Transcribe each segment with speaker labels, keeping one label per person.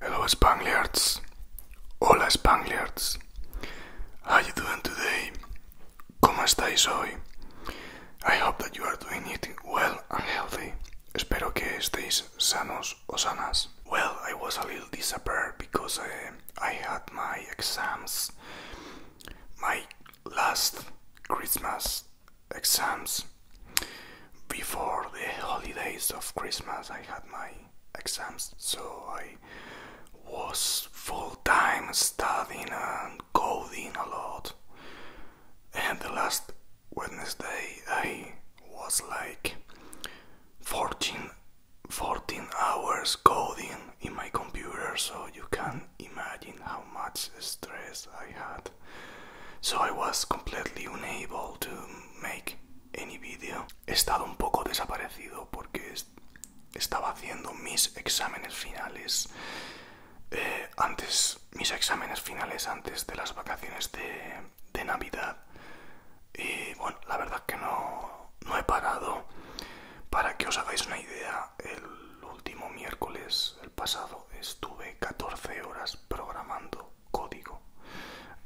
Speaker 1: Hello Spaniards. hola Spaniards. how are you doing today? ¿Cómo estáis hoy? I hope that you are doing it well and healthy. Well, I was a little disappointed because eh, I had my exams, my last Christmas exams. Before the holidays of Christmas, I had my exams, so I was full time studying and coding a lot and the last Wednesday I was like 14 14 hours coding in my computer so you can imagine how much stress I had so I was completely unable to make any video he estado un poco desaparecido porque estaba haciendo mis exámenes finales eh, antes mis, exámenes finales antes de las vacaciones de, Navidad. Y bueno, la verdad que no, he parado. Para que os hagáis una idea, el último miércoles, el pasado, estuve 14 horas programando código.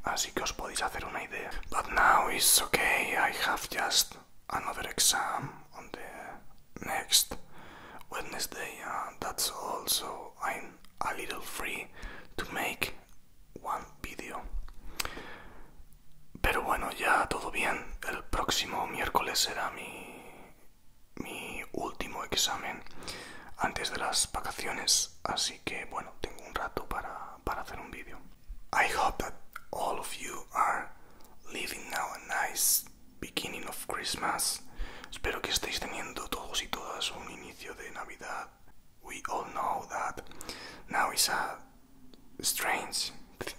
Speaker 1: Así que os podéis hacer una idea. now I have just another exam next Wednesday, also a little free to make one video. Pero bueno, ya todo bien. El próximo miércoles será mi, mi último examen antes de las vacaciones, así que bueno, tengo un rato para, hacer un vídeo. I hope that all of you are living now a nice beginning of Christmas. Espero que estéis teniendo todos y todas un inicio de Navidad, we all know that now is a strange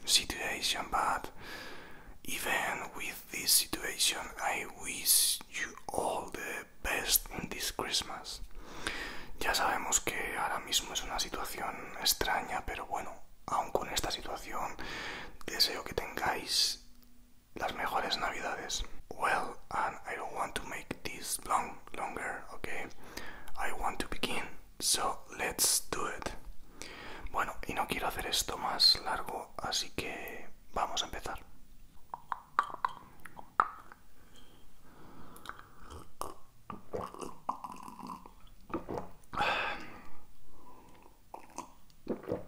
Speaker 1: situation, but even with this situation, I wish you all the best in this Christmas. Ya sabemos que ahora mismo es una situación extraña, pero bueno, aun con esta situación, deseo que tengáis las mejores navidades. Well, and I don't want to make this long longer, okay? I want to begin, so let's do it. Bueno, y no quiero hacer esto más largo, así que vamos a empezar.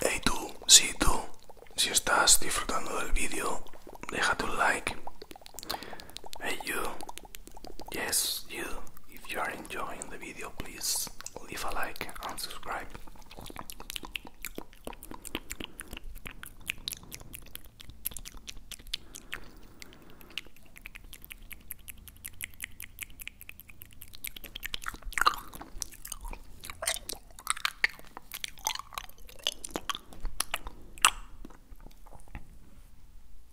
Speaker 1: Hey tú, si sí, tú, si estás disfrutando del vídeo, deja tu like. Hey you, yes you, if you are enjoying the video, please leave a like and subscribe.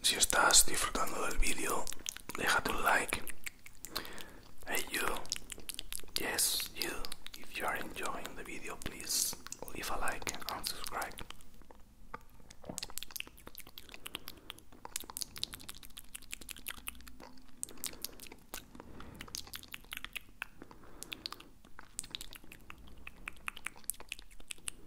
Speaker 1: If Si estás disfrutando the vídeo, déjate un like. Hey you, yes you, if you are enjoying the video, please leave a like and subscribe.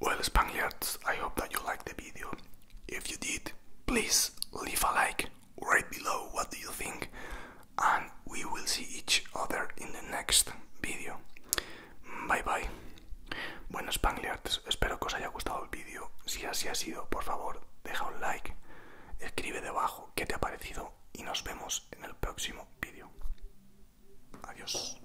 Speaker 1: Well, Spaniards, I hope that you liked the video. If you did, please leave a like right below what do you think and we will see each other in the next video. Bye bye. Bueno, Spangliards, espero que os haya gustado el vídeo. Si así ha sido, por favor, deja un like, escribe debajo qué te ha parecido y nos vemos en el próximo vídeo. Adiós.